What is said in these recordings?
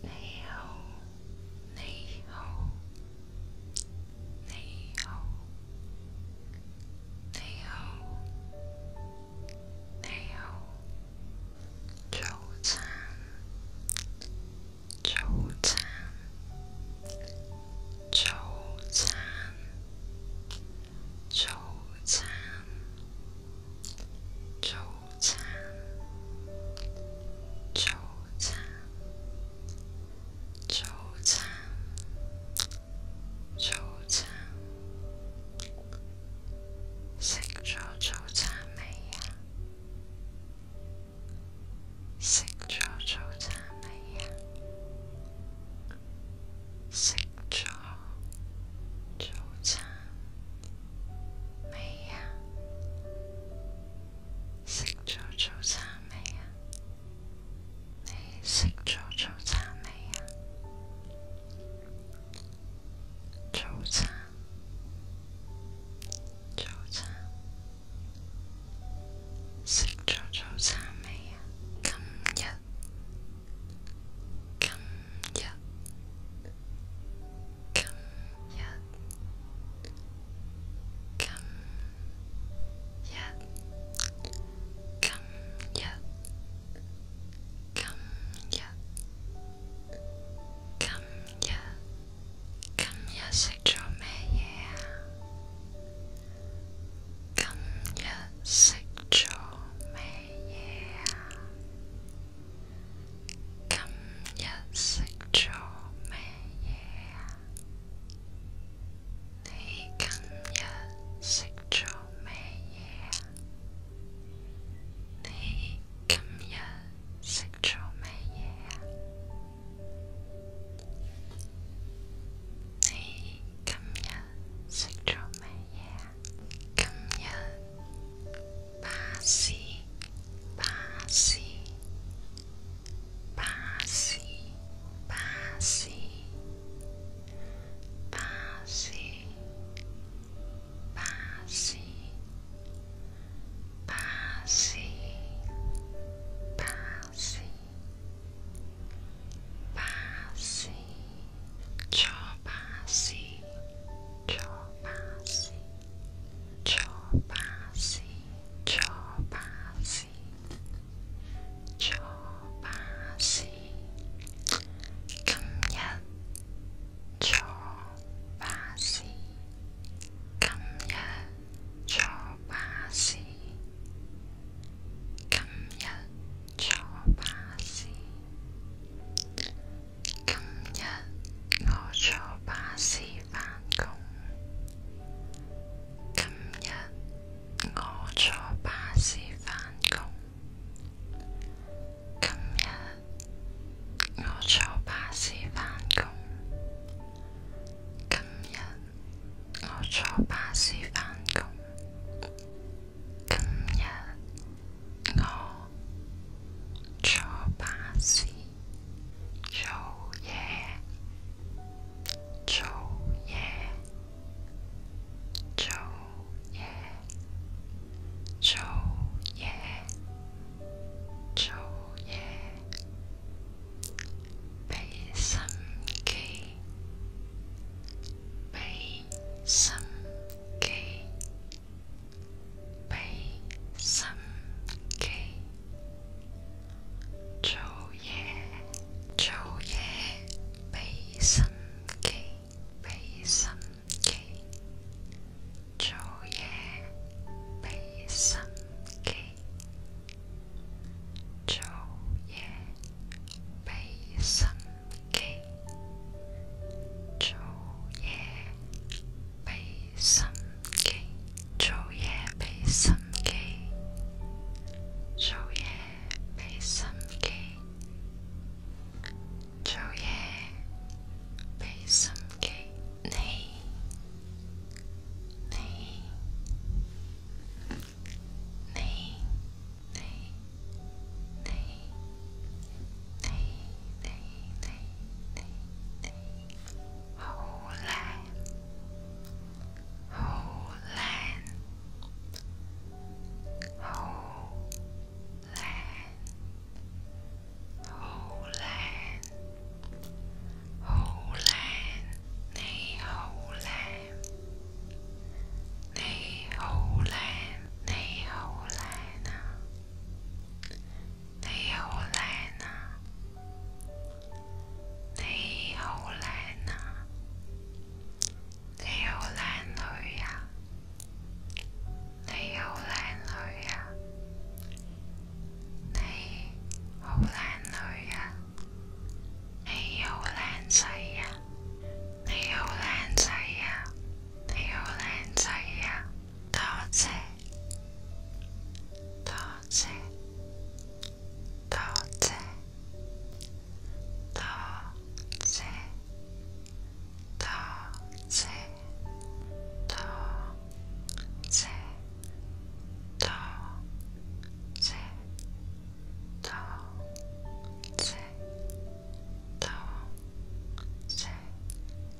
你好，你好，你好，你好，你好，早餐，早餐，早餐，早餐，早。早餐，早餐，早餐，早餐，食咗早餐未呀？食咗早餐未呀？食咗早餐未呀？食咗早餐未啊？你食咗早餐未啊？早餐，早餐，食咗早餐未啊？今日，今日。今日食咗咩嘢啊？今日食咗咩嘢啊？你今日食咗咩嘢啊？你今日食咗咩嘢啊？你今日食咗咩嘢啊？今日。巴士，巴士，巴士，巴士，巴士，巴士，巴士，巴士，坐巴士，坐巴士。坐巴士，坐巴士，坐巴士。今日坐巴士，今日坐巴士，今日坐巴士。今日我坐巴士返工。今日我坐巴士返工。今日我坐巴士返工。今日我坐巴士返工。今日我坐巴士。做嘢，做嘢，做嘢，做嘢，做嘢，俾心机，俾心机。俾心机做嘢，做嘢俾心机，俾心机做嘢，俾心机做嘢，心机做嘢，心机，做嘢畀心机，做嘢畀心机，做嘢畀心机，你，你，你，你，你。你你你你你，好靓，好靓，好靓，好靓，好靓，你好靓，你好靓，你好靓啊！你好靓啊！你好靓啊！你好靓女啊！你好靓女啊！你好靓女啊！你好靓仔啊！你好靓仔啊！你好靓仔啊！陶喆，陶喆，陶喆，陶喆，陶喆，陶喆，陶喆，陶喆，陶喆。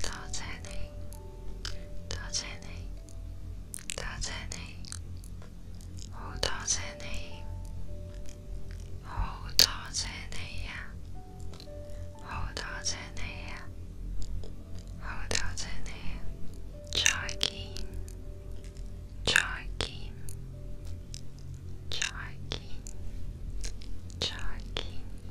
多谢你，多谢你，多谢你，好多谢你，好多谢你呀，好多谢你呀，好多谢你，再见，再见，再见，再见。